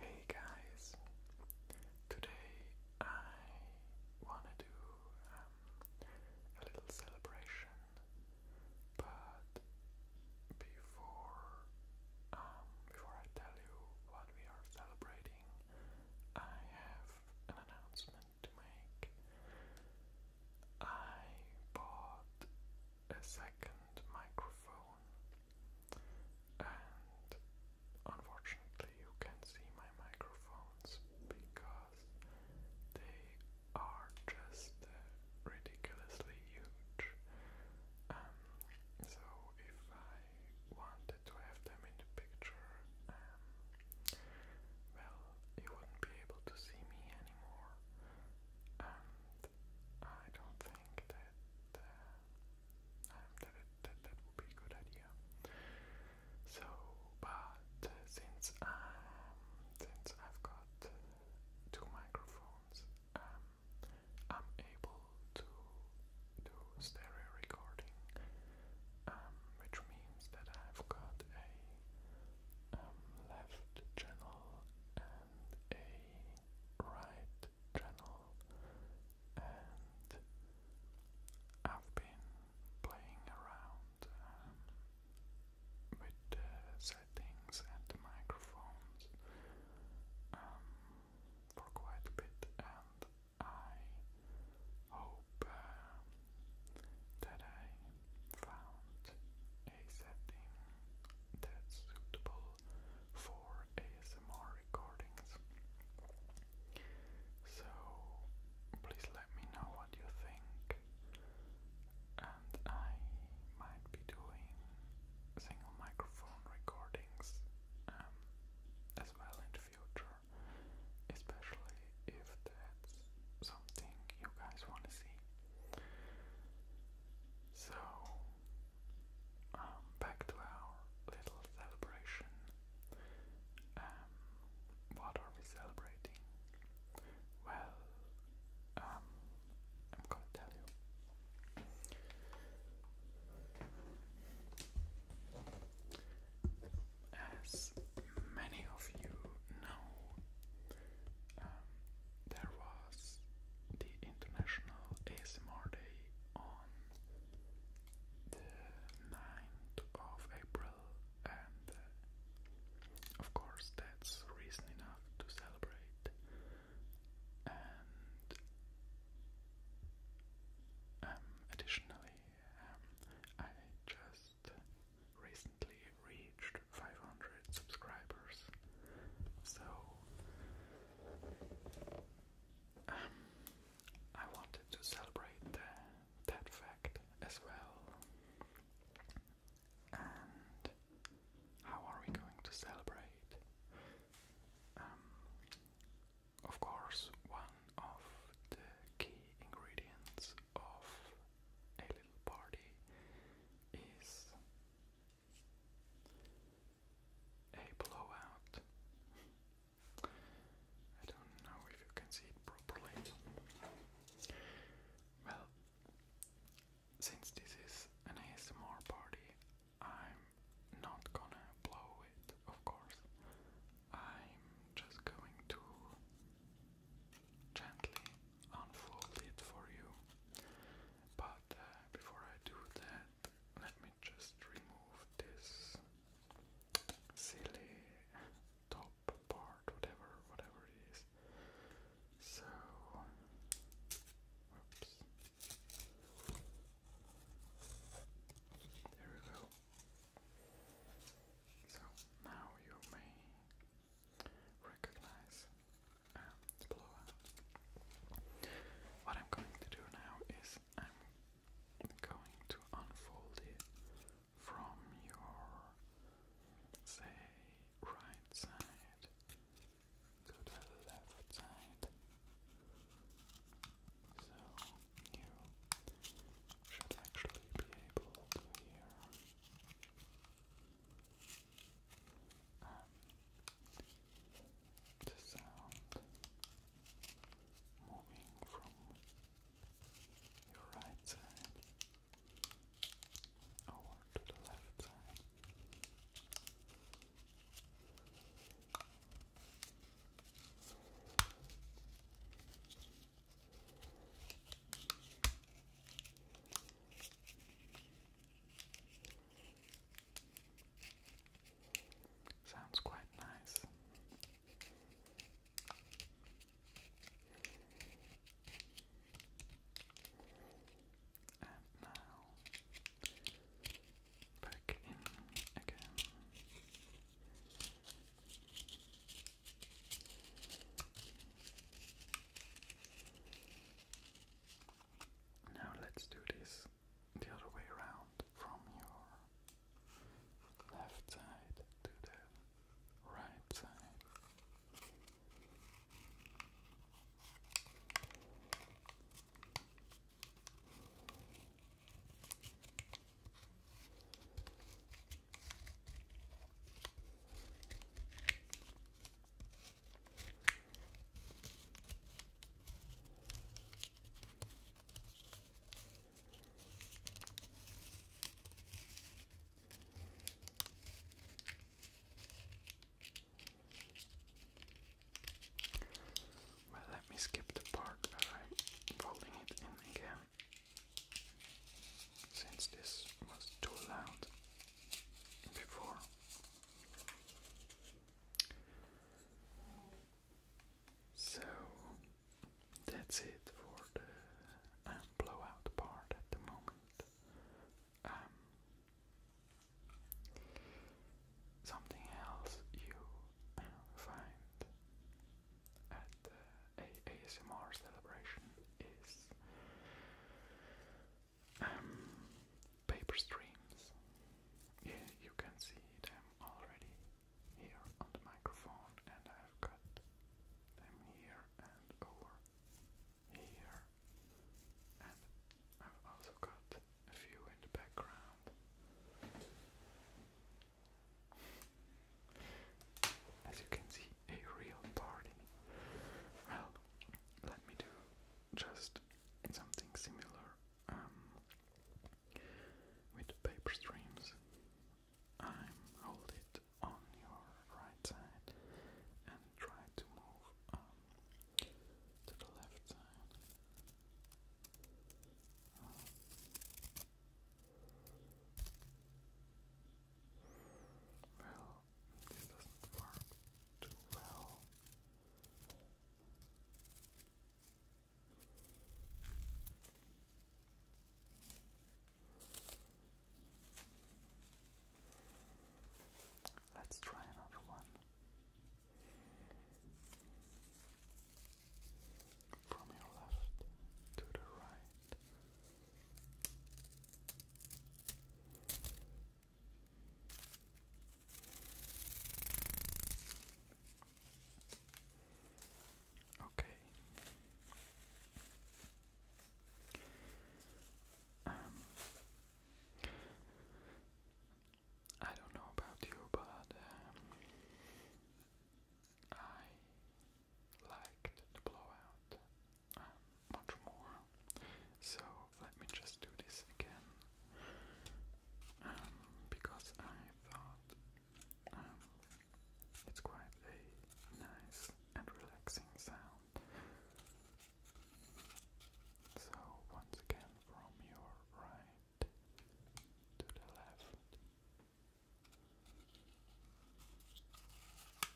Hey guys, today I wanna do um, a little celebration, but before um, before I tell you what we are celebrating, I have an announcement to make. I bought a second microphone and unfortunately, you can't see my microphones because they are just uh, ridiculously huge. Um, so, if I wanted to have them in the picture, um, well, you wouldn't be able to see me anymore. Um, I don't think that, uh, um, that, that that would be a good idea. So, but uh, since um, since I've got two microphones, um, I'm able to do stereo recording, um, which means that I've got a um, left channel. Uh, and a right channel and I've been playing around um, with the settings and the microphones um, for quite a bit and I hope uh, that I found a setting that's suitable for ASMR recordings. So please let me know what you think, and I might be doing single microphone recordings um, as well in the future, especially if that's something you guys want to see. So, um, back to our little celebration. Um, what are we celebrating? Well, um, I'm gonna tell you. As many of you know, um, there was the International ASMR Day on the 9th of April, and uh, of course, that's reason enough to celebrate. And um, additionally, um, I just recently re reached 500 subscribers. So, um, I wanted to celebrate that fact as well. And how are we going to celebrate? Um, of course, one of the key ingredients of a little party is a blowout. I don't know if you can see it properly. Well, since this is an ASMR party, I'm not gonna blow it, of course. I'm just going to gently unfold it for you. But uh, before I do that, let me just remove this silly top part, whatever, whatever it is. So, There we go. So now you may recognize What I'm going to do now is I'm going to unfold it from your, say, right side to the left side. So you should actually be able to hear um, the sound moving from your right side over to the left side. Sounds quite nice. And now back in again. Now let's do this the other way around from your left side to the right side. Well, let me skip the part where folding it in again, since this was too loud before. So that's it for the um, blowout part at the moment. Um, something else you uh, find at the ASMR celebration is um, paper streams. Yeah, you can see them already here on the microphone, and I've got them here and over here, and I've also got a few in the background. As you can see, be a real party. Well, let me do just something similar um, with paper streams. I'm hold it on your right side and try to move um, to the left side. Well, this doesn't work too well. Let's try another one from your left to the right. Okay. Um, I don't know about you, but um, I liked the blowout much more. So let me just do this again, um, because I thought um, it's quite a nice and relaxing sound. So once again, from your right to the left.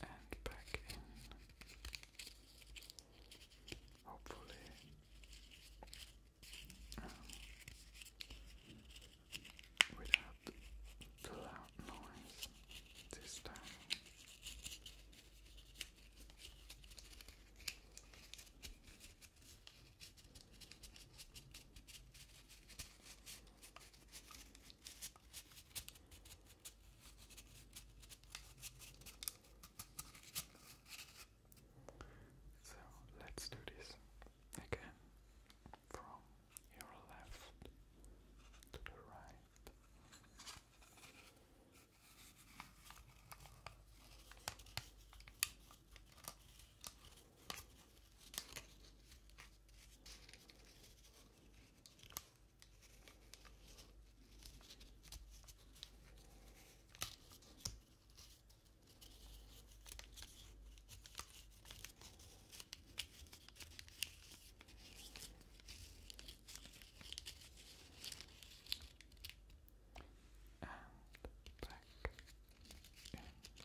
and back in. Hopefully, um, without loud noise this time. So let's do this again from your left to the right and back in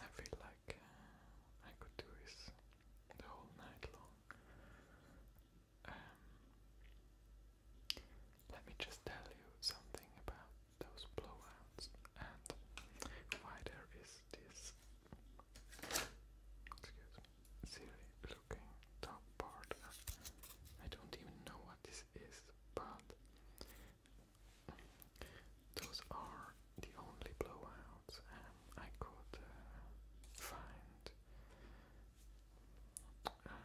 I feel like uh, I could do this the whole night long. Um, let me just tell you something about those blowouts and why there is this excuse me, silly looking top part. I don't even know what this is, but those are the only blowouts um, I could uh, find, um,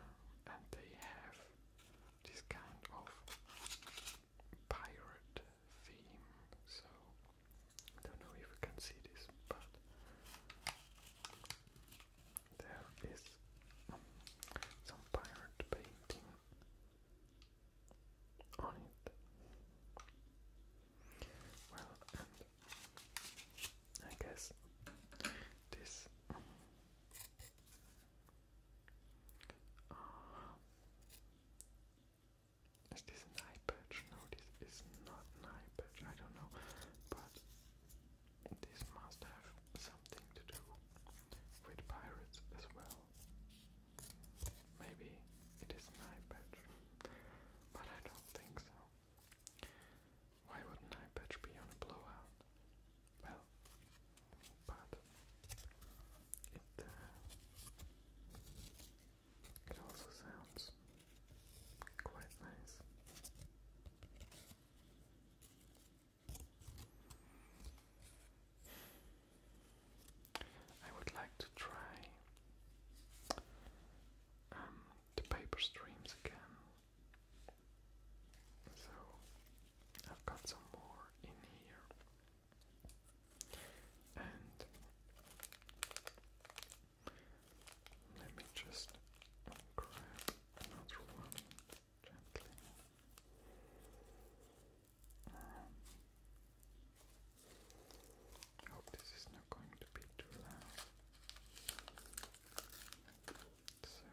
and they have this kind of pirate theme. So I don't know if you can see this, but there is um, some pirate painting on it. Well, and I guess this uh, is this an eye patch? No, this is not an eye patch. I don't know, but this must have something to do with pirates as well. Maybe it is an but I don't think so. Why would an be on a blowout? Well, but it, uh, it also sounds quite nice. I would like to try um, the paper streams again. So I've got some more in here, and let me just grab another one gently. Um, I hope this is not going to be too loud. So,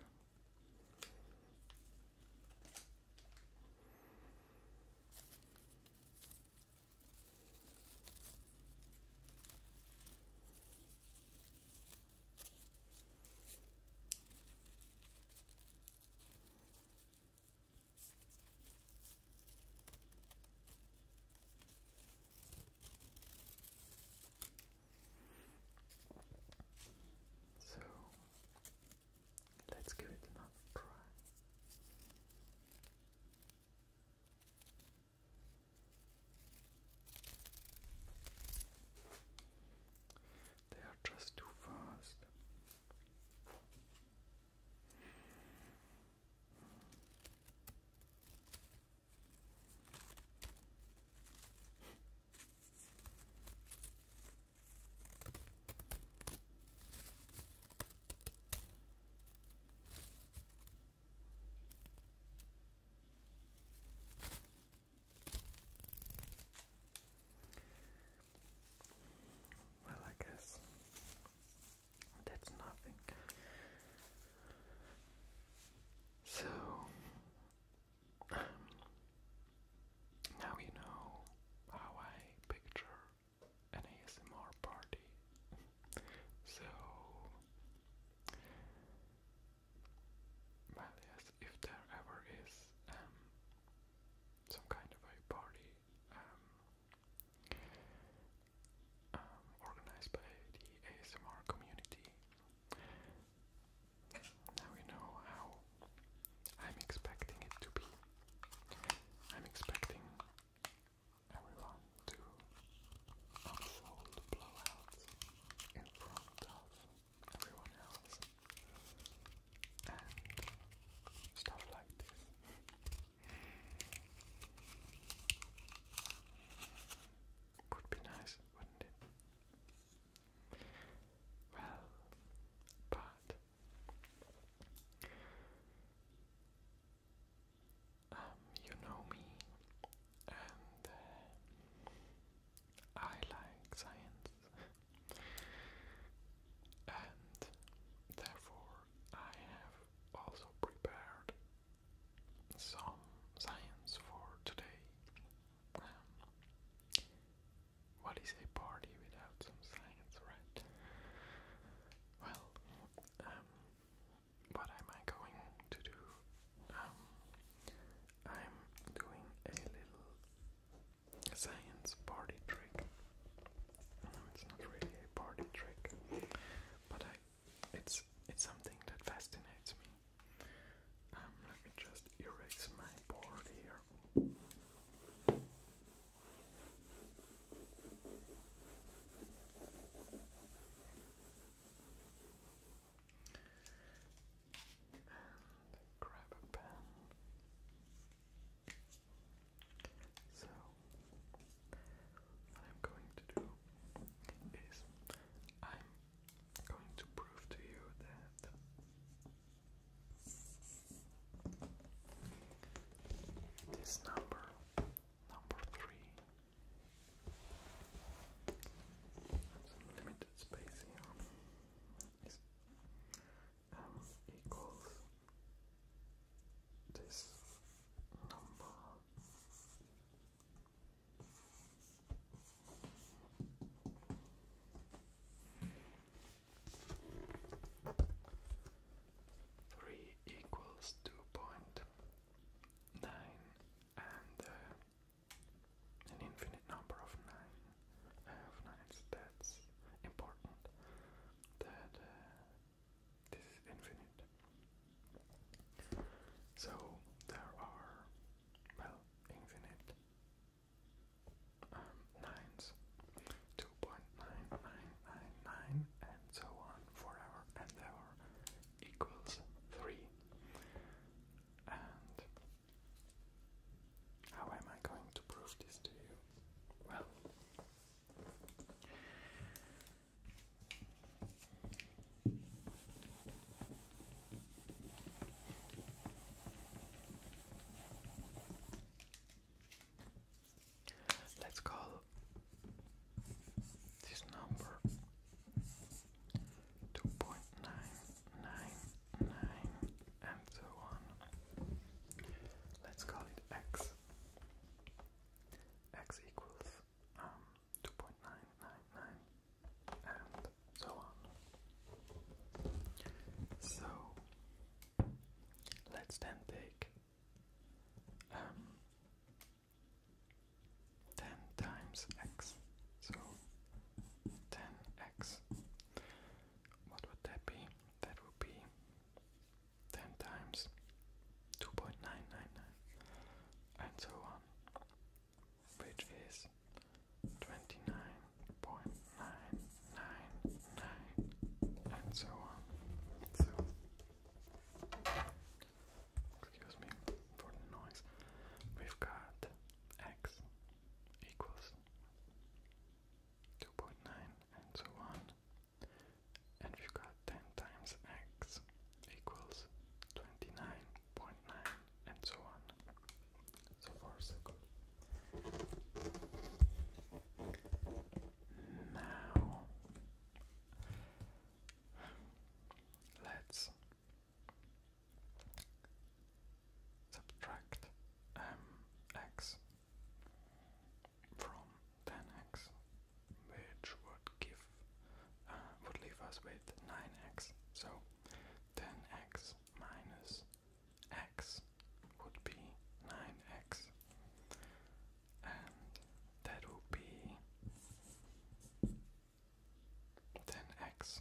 so let's give it another try. They are just too fast. Well, I guess that's nothing. So, now you know how I picture an ASMR party. so, well, yes, if there ever is um, some kind of a party um, um, organized by the ASMR community. Now you know how I'm expecting it to be. I'm expecting everyone to unfold blowouts in front of everyone else, and stuff like this. Would be nice, wouldn't it? Well, but um, you know me, and uh, I like science, and therefore I have also prepared some science for today. Um, what is a party without some science, right? Well, um, what am I going to do? Um, I'm doing a little science party trick. it's not really a party trick, but I, it's it's something that fascinates me. Um, let me just erase my board here. And grab a pen. So, what I'm going to do is I'm going to prove to you that this number, number three, some limited space here equals this number three equals two point nine and uh, an infinite number of nine nines. That's important. That uh, this is infinite. So there are well infinite um, nines, two point nine nine nine nine, and so on forever and ever equals three. And how am I going to prove this to you? Well, let's call this number two point nine nine 9, and so on. Let's call it x. x equals um, 2.999 and so on. So let's then take um, 10 times x. So 10x. What would that be? That would be 10 times 2.999 and so on, which is 29.999 and so on. excuse me for the noise. We've got x equals 2.9 and so on. And we've got 10 times x equals 29.9 and so on. So far so good. Now let's subtract mx um, from tan x which would give uh, would leave us with 9x so 10x minus x would be 9x and that would be 10x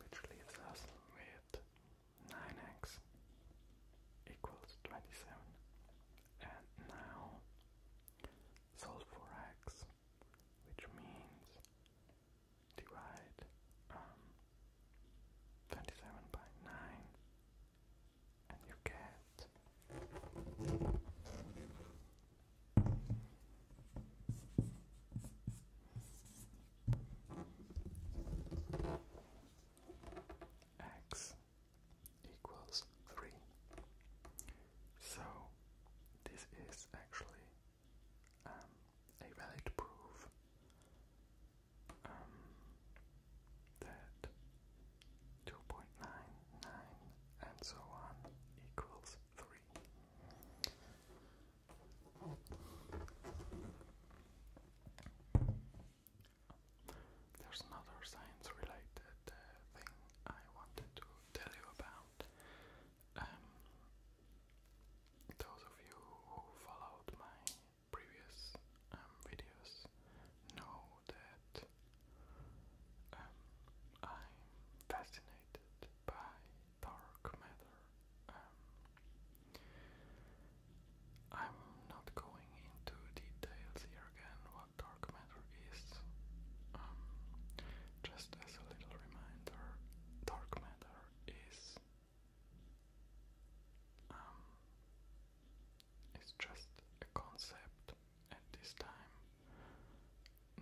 which leaves us with 9x equals 27 and now solve for x which means divide um, 27 by 9 and you get x equals 3. So this is actually um, a valid proof um, that 2.99 and so on equals 3. There's another science related uh, thing I wanted to tell you about. Um, those of you who followed my previous um, videos know that um, I'm fascinated by dark matter. Um, I'm not going into details here again what dark matter is. Um, just as a little reminder, dark matter is um, it's just a concept at this time.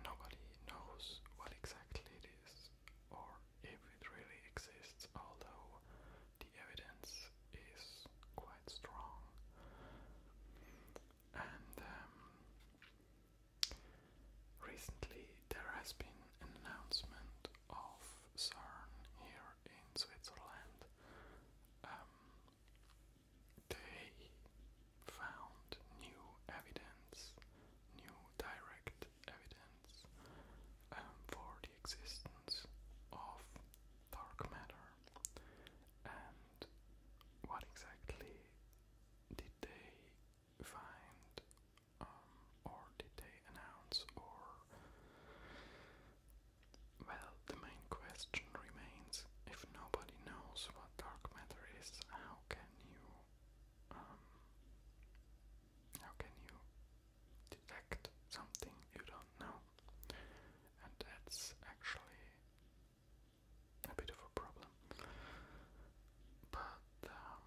Nobody knows what exactly it is or if it really exists, although the evidence is quite strong. And um, recently there has been an announcement of CERN here in Switzerland. Um, they found new evidence, new direct evidence um, for the existence of dark matter. And what exactly did they find, um, or did they announce, or. Well, the main question remains if nobody knows what dark matter is, how can can you um, how can you detect something you don't know? And that's actually a bit of a problem. But um,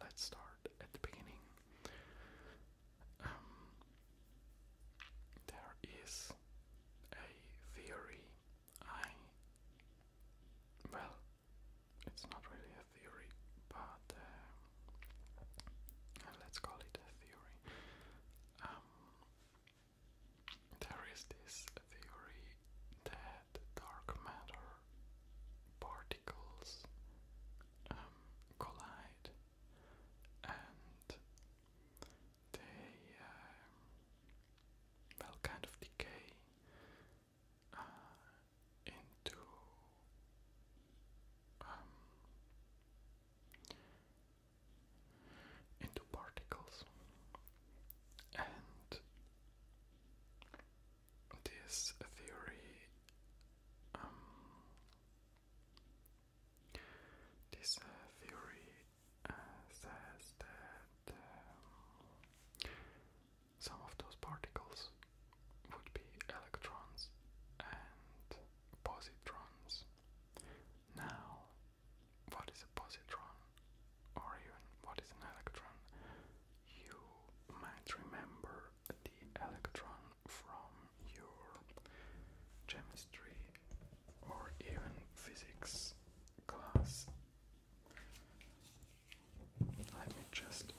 let's start at the beginning. Um, there is a theory I. Well, it's not really a theory, but um, uh, let's call it a theory. Um, there is this theory that dark matter particles um, collide and they. Um, well, kind of decay uh, into um, into particles, and this theory, um, this uh, theory says that um, some of those particles would be electrons and positrons. Now, what is a positron or even what is an electron? You might remember the electron from your chemistry or even physics class let me just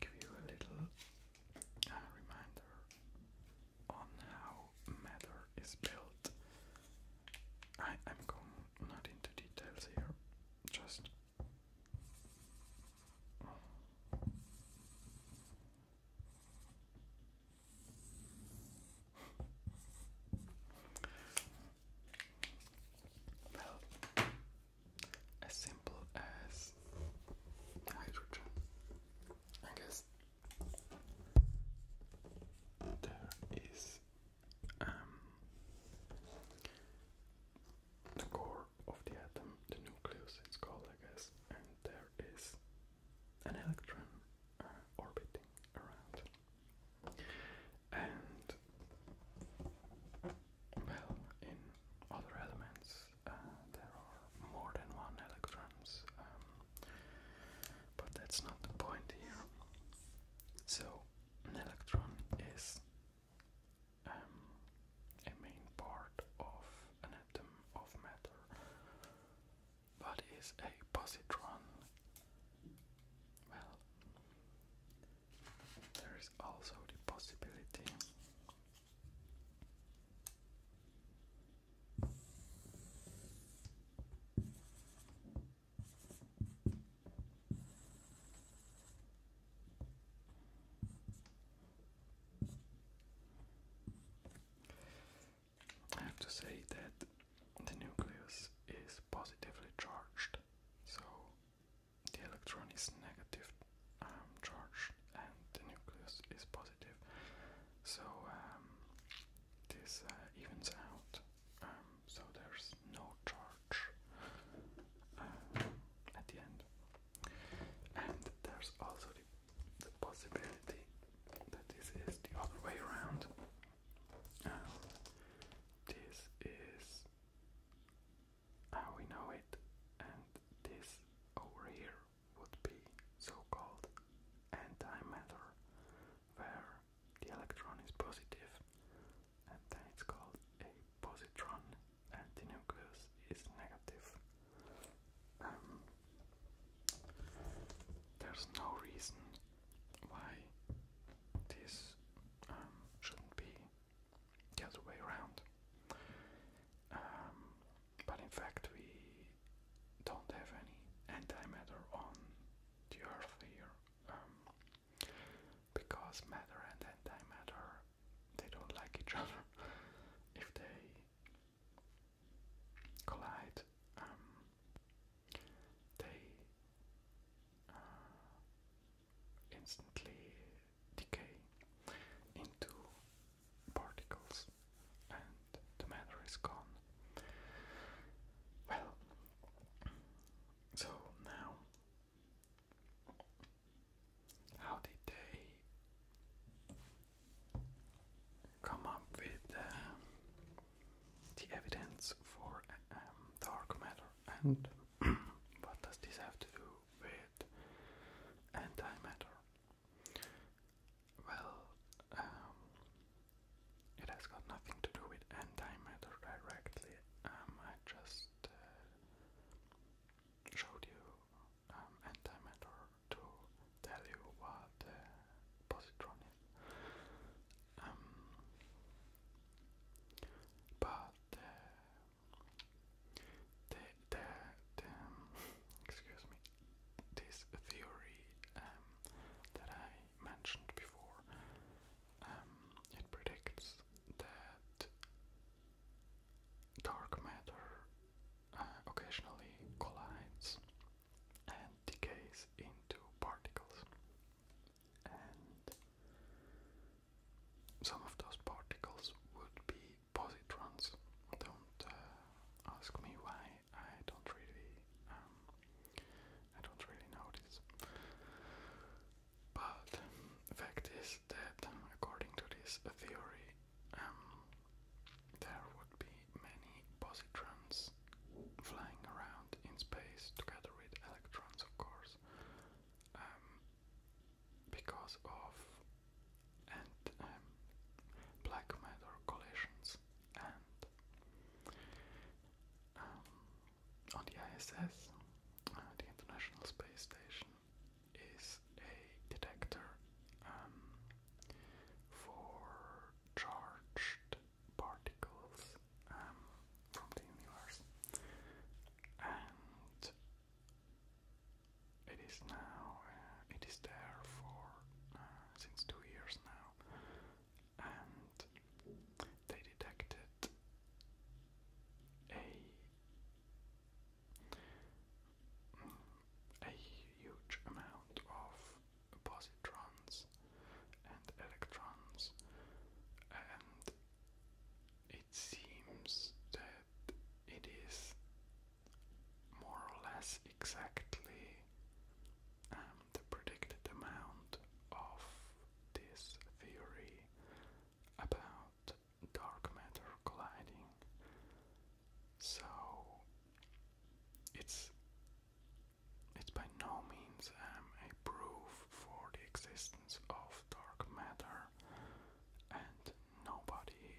give you a little uh, reminder on how matter is built. I am going not into details here, just as simple as hydrogen, I guess there is um, the core of the atom, the nucleus, it's called, I guess, and there is an electron uh, orbiting around. And well, in other elements uh, there are more than one electrons, um, but that's not the point here. So an electron is um, a main part of an atom of matter that is a positron. Well, there is also the possibility I have to say that the nucleus is positively charged, so the electron is negative um, charged and the nucleus is positive, so um, this uh, evens out, um, so there's no charge at the end. And there's also the the possibility that this is the other way around. Um, this is how we know it, and this over here would be so-called antimatter, where the electron is positive, and then it's called a positron, and the nucleus is negative. Um, there's no reason why this um, shouldn't be the other way around. Um, but in fact, we don't have any antimatter on the Earth here um, because matter and antimatter they don't like each other. If they collide, um, they uh, instantly decay into particles and the matter is gone. Well, so now, how did they come up with uh, the evidence for um, dark matter and what does this have to do with antimatter? Well, um, it has got nothing to do with antimatter directly. Um, I just uh, showed you um, antimatter to tell you what the um, but uh, the, the, the um, excuse me, this theory um, that I mentioned before, it predicts that dark matter occasionally collides and decays into particles. And some of those particles would be positrons. Don't uh, ask me why. I don't really, um, I don't really notice. But fact is that, according to this theory, um, there would be many positrons flying around in space together with electrons, of course, um, because of um, black matter collisions and on the ISS, uh, the International Space Station, is a detector um, for charged particles um, from the universe, and it is now uh, it is there for uh, since two years now, and they detected a a huge amount of positrons and electrons, and it seems that it is more or less exactly um, the predicted amount of this theory about dark matter colliding so it's it's by no means um, a proof for the existence of dark matter, and nobody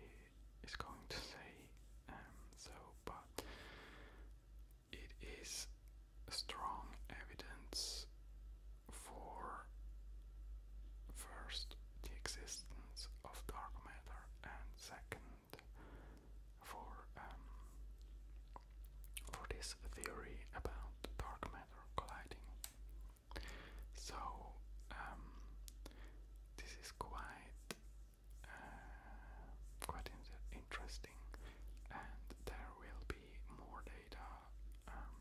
is going to say um, so, but it is strong evidence for first the existence of dark matter and second for um, for this theory about dark matter colliding. So um, this is quite uh, quite interesting, and there will be more data um,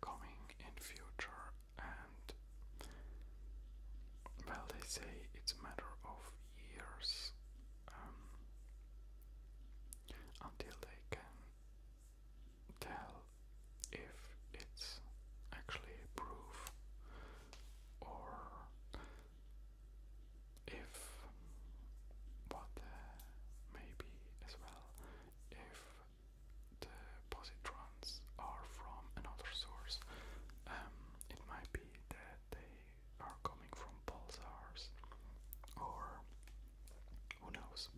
coming in future and well, they say it's a matter of years um, until they can tell if it's actually proof or if what maybe as well if the positrons are from another source. Um, it might be that they are coming from pulsars, or who knows.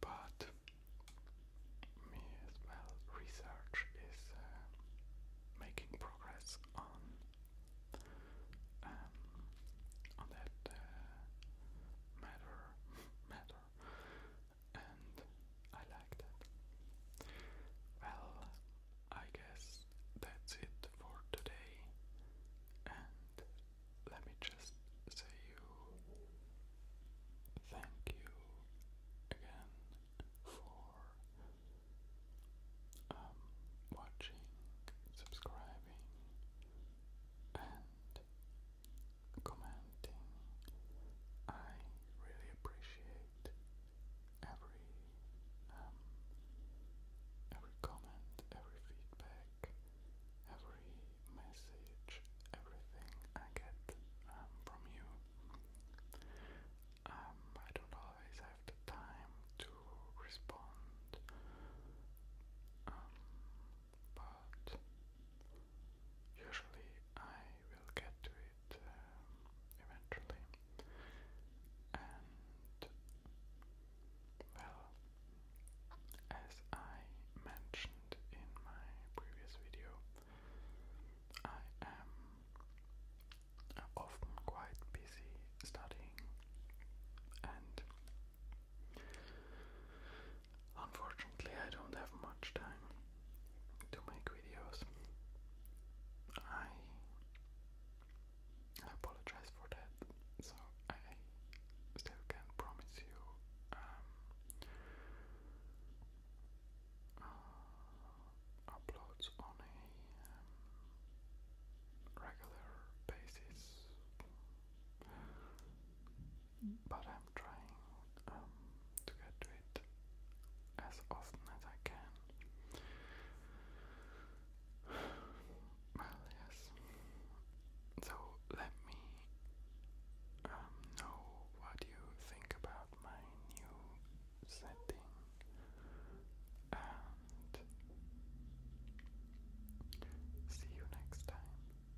But me as well, research is uh, making progress on um, on that uh, matter matter and I like that. Well, I guess that's it for today, and let me just say you thank you again for um, watching, subscribing, and commenting. I really appreciate every um, every comment, every feedback, every message, everything I get um, from you. Um, I don't always have the time to respond, but Usually I will get to it um, eventually, and well, as I mentioned in my previous video, I am often quite busy studying and Unfortunately, I don't have much time to make videos. I I apologize for that. So I still can't promise you um, uh, uploads on a um, regular basis but I'm trying um, to get to it as often as I can. Well, yes. So let me um, know what you think about my new setting see you next time.